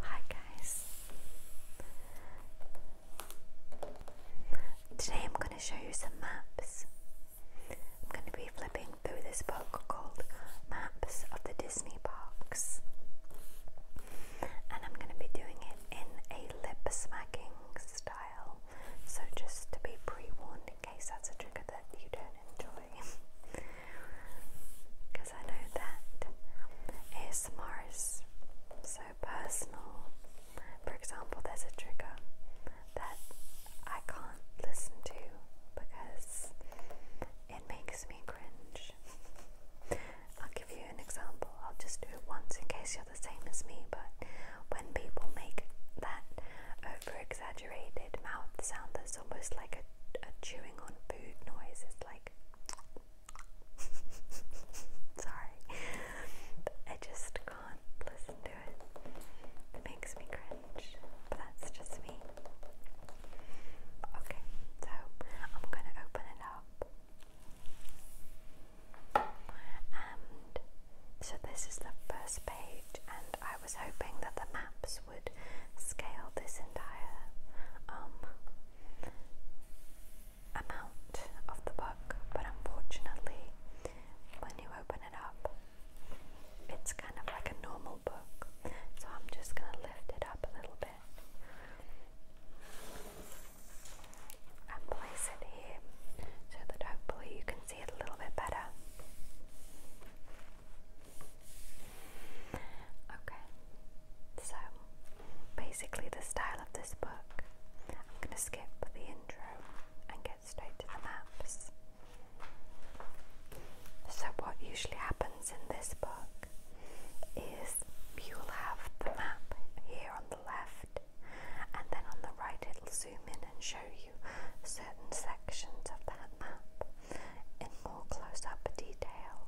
Hi guys. Today I'm going to show you some maps. I'm going to be flipping through this book called Maps of the Disney Parks. And I'm going to be doing it in a lip smacking style. So just to be pre-warned in case that's a trigger that you don't enjoy something. Because I know that ASMR is so personal. For example, there's a trigger that I can't listen to because it makes me cringe. I'll give you an example. I'll just do it once in case you're the same as me, but when people make that over exaggerated mouth sound that's almost like a a chewing on food noise is like sorry I just can't listen to it it makes me cringe but that's just me okay so I'm gonna open it up and so this is the first page and I was hoping that the maps would scale this entire um, amount of the book, but unfortunately, when you open it up, it's kind of like a normal book. So I'm just going to lift it up a little bit and place it here so that hopefully you can see it a little bit better. Okay, so basically, the style of this book, I'm going to skip the intro and get straight to the maps. So, what usually happens in this book is you'll have the map here on the left, and then on the right, it'll zoom in and show show you certain sections of that map in more close up detail.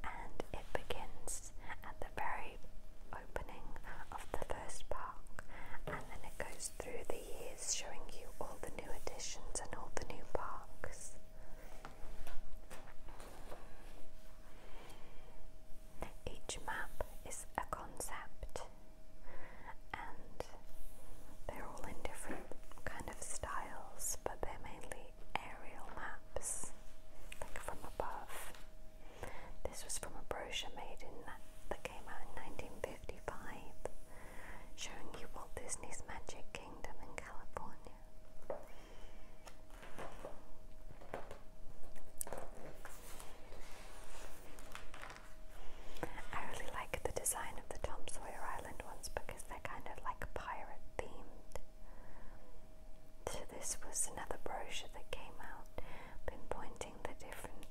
And it begins at the very opening of the first park, and then it goes through the years showing you all the new additions and all the new parks. Each map is a concept and they're all in different kind of styles, but they're mainly aerial maps, like from above. This was from a brochure made in that came out in 1955, showing you Walt Disney's Magic Kingdom in California. I really like the design of the Tom Sawyer Island ones because they're kind of like pirate themed. So this was another brochure that came out, pointing the different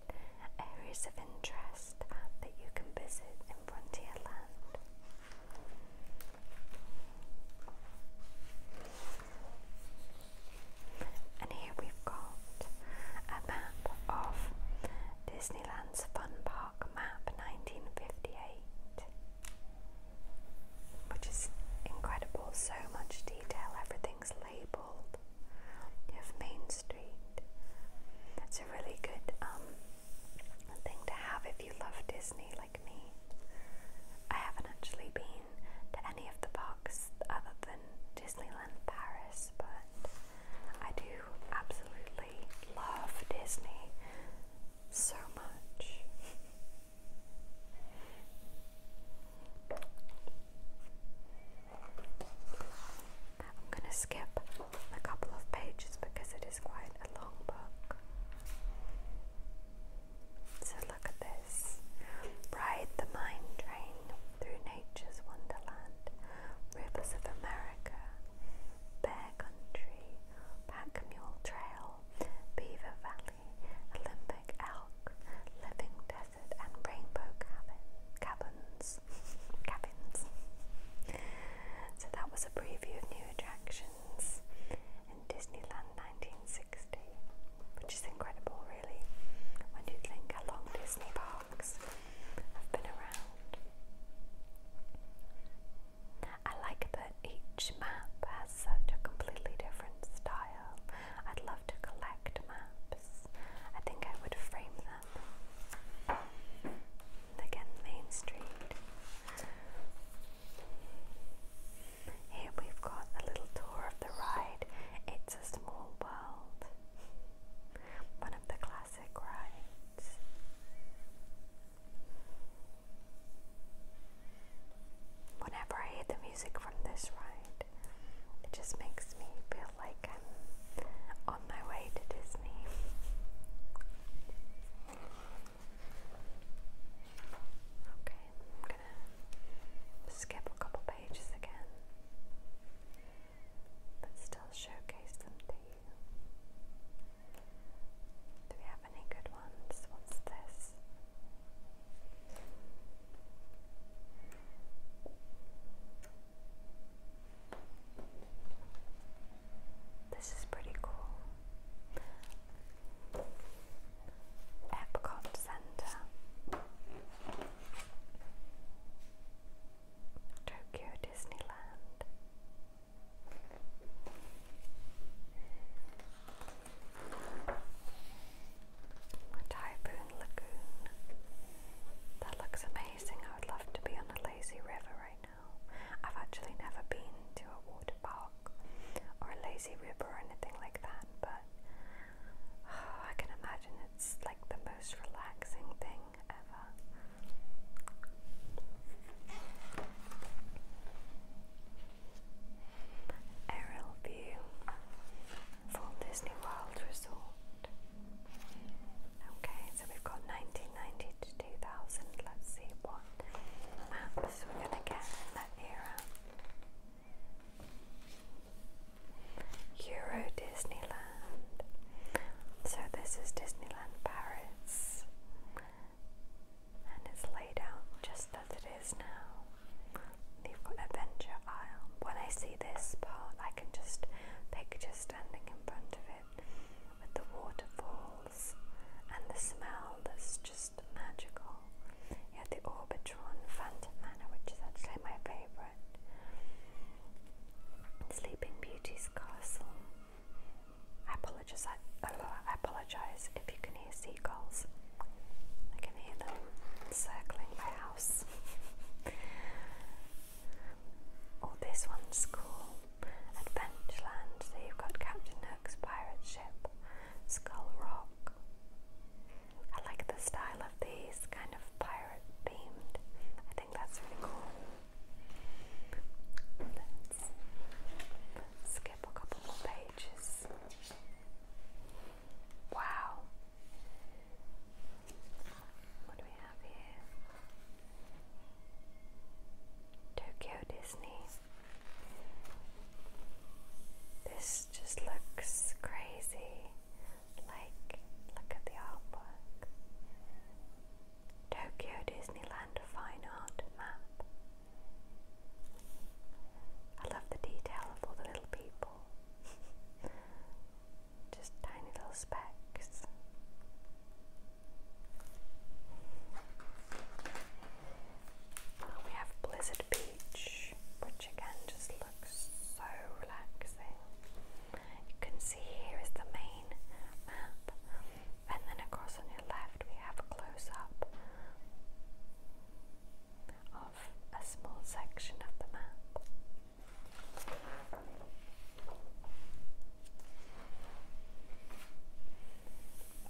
areas of interest that you can visit in Frontierland. And here we've got a map of Disneyland's Fun Park Map 1958, which is incredible. So much detail, everything's labelled. You have Main Street. That's a really good um, thing to have if you love Disney like me. I haven't actually been to any of the parks other than Disneyland Paris, but I do absolutely love Disney so much. I'm going to skip a couple of pages because it is quite a long book. So look at this. Ride the mine train through nature's wonderland, rivers of America, bear country, pack mule trail, beaver valley, Olympic elk, living desert, and rainbow cabins. cabins. So that was a preview of new attractions in Disneyland 1960 which is incredible, really, when you think how long Disney parks have been around. I like that each map has such a completely different style. I'd love to collect maps. I think I would frame them. again, Main Street. Here we've got a little tour of the ride. It's a small world. One of the classic rides. Whenever I hear the music from this ride, it just makes me feel like I'm on my way to Disney. Okay, I'm gonna skip a couple pages again, but still showcase them to you. Do we have any good ones? What's this? This is pretty cool. Epcot Center, Tokyo Disneyland. Typhoon Lagoon. That looks amazing. I would love to be on a lazy river right now. I've actually never been to a park or a lazy river or anything like that, but I can imagine it's like the most relaxing thing ever. Aerial view from Disney World Resort. Okay, so we've got 1990 to 2000. Let's see what map this we're going to get that era. Euro Disneyland. So this is Disneyland Paris. And it's laid out just as it is now. You've got Adventure Isle. When I see this part, I can just picture standing in front of it with the waterfalls and the smell that's just magical. You had the Orbitron Phantom Manor, which is actually my favourite. Sleeping Beauty's Castle. I apologise. I, apologise if you can hear seagulls. I can hear them circling my house. oh, this one's cool. Adventureland, so you've got Captain Hook's pirate ship, Skull Rock. I like the style of these, kind of pirate themed. I think that's really cool. skip a couple more pages. Wow. What do we have here? Tokyo Disney. This just looks crazy. Like, look at the artwork. Tokyo Disneyland Fine Art Map. I love the detail of all the little people. Just tiny little specks we have Blizzard Beach, which again just looks so relaxing. You can see here is the main map, and then across on your left, we have a close up of a small section of the map.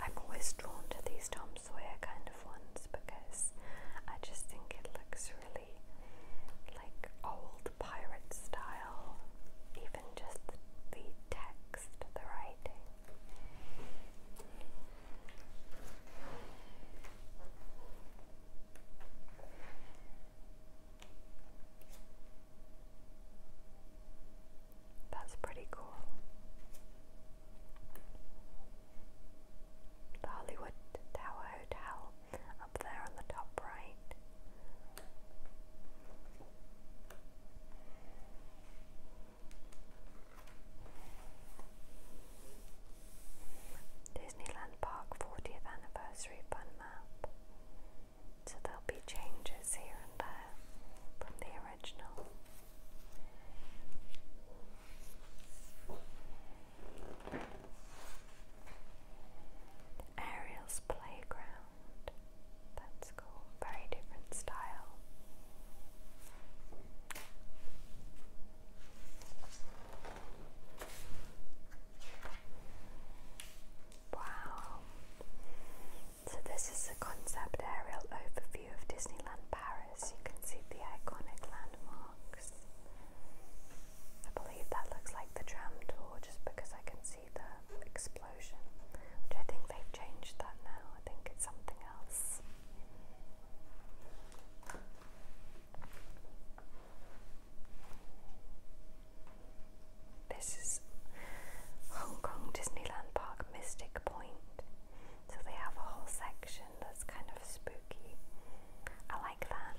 I'm always drawn to these Tom Sawyer kind of ones because I just think it looks really like old pirate style, even just the, the text, the writing. That's pretty cool. The Hollywood Tower Hotel up there on the top right. Disneyland Park 40th Anniversary Fun Map so there'll be changes here and there from the original. Ariel's Playground, that's cool, very different style. Wow. So, this is a concept aerial overview of Disneyland Paris. You can see the iconic landmarks. I believe that looks like the tram door just because I can see the explosion, which I think they changed that now. I think it's something else. This is Hong Kong Disneyland Park Mystic Point. So they have a whole section that's kind of spooky. I like that.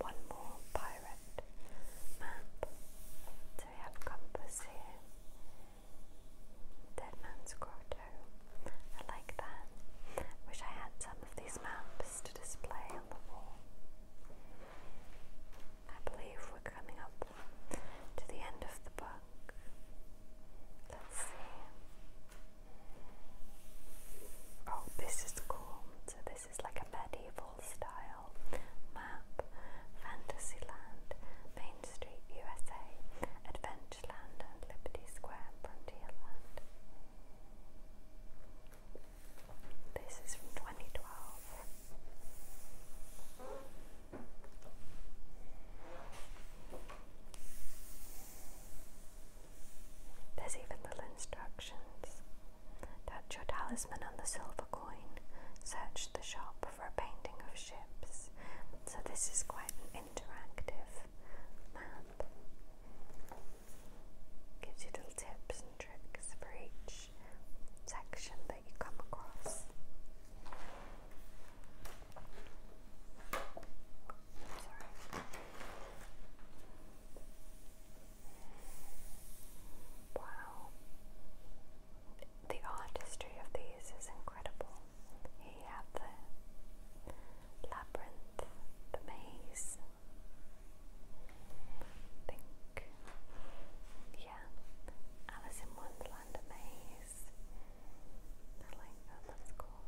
One more pirate map. So we have compass here. Dead Grotto. I like that. Wish I had some of these maps to display on the wall. I believe we're coming up to the end of the book. Let's see. Oh, this is cool. So, this is like a medieval style. Map, Fantasyland, Main Street USA, Adventureland and Liberty Square Frontierland. This is from 2012. There's even little instructions. Touch your talisman on the silver coin, search the shop, for a painting of ships. So this is quite an interactive map. Gives you little tips and tricks for each section that you come across. Wow the artistry of these is incredible. you have the labyrinth, the maze. I think, yeah, Alice in Wonderland, maze. I like that, oh, that's cool.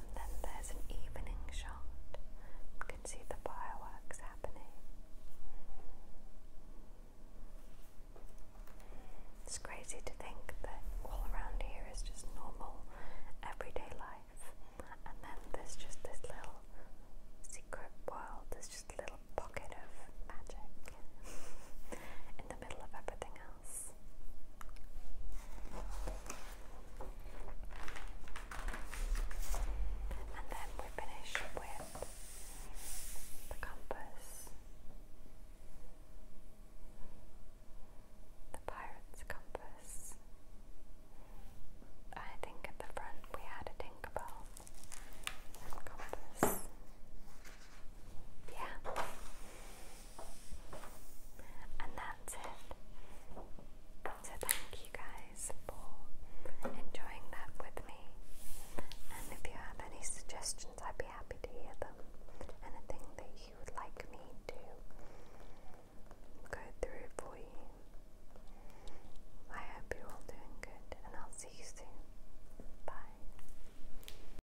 And then there's an evening shot. You can see the fireworks happening. It's crazy to think that all around here is just normal, everyday life, and then there's just this little secret world, there's just a little pocket of magic in the middle of everything else else. And then we finish with the compass, the pirate's compass. I think at the front we had a Tinkerbell compass. Yeah. And that's it. So thank you guys for enjoying that with me. And if you have any suggestions, I'd be happy to hear them. Anything that you would like me to go through for you. I hope you're all doing good, and I'll see you soon. Bye.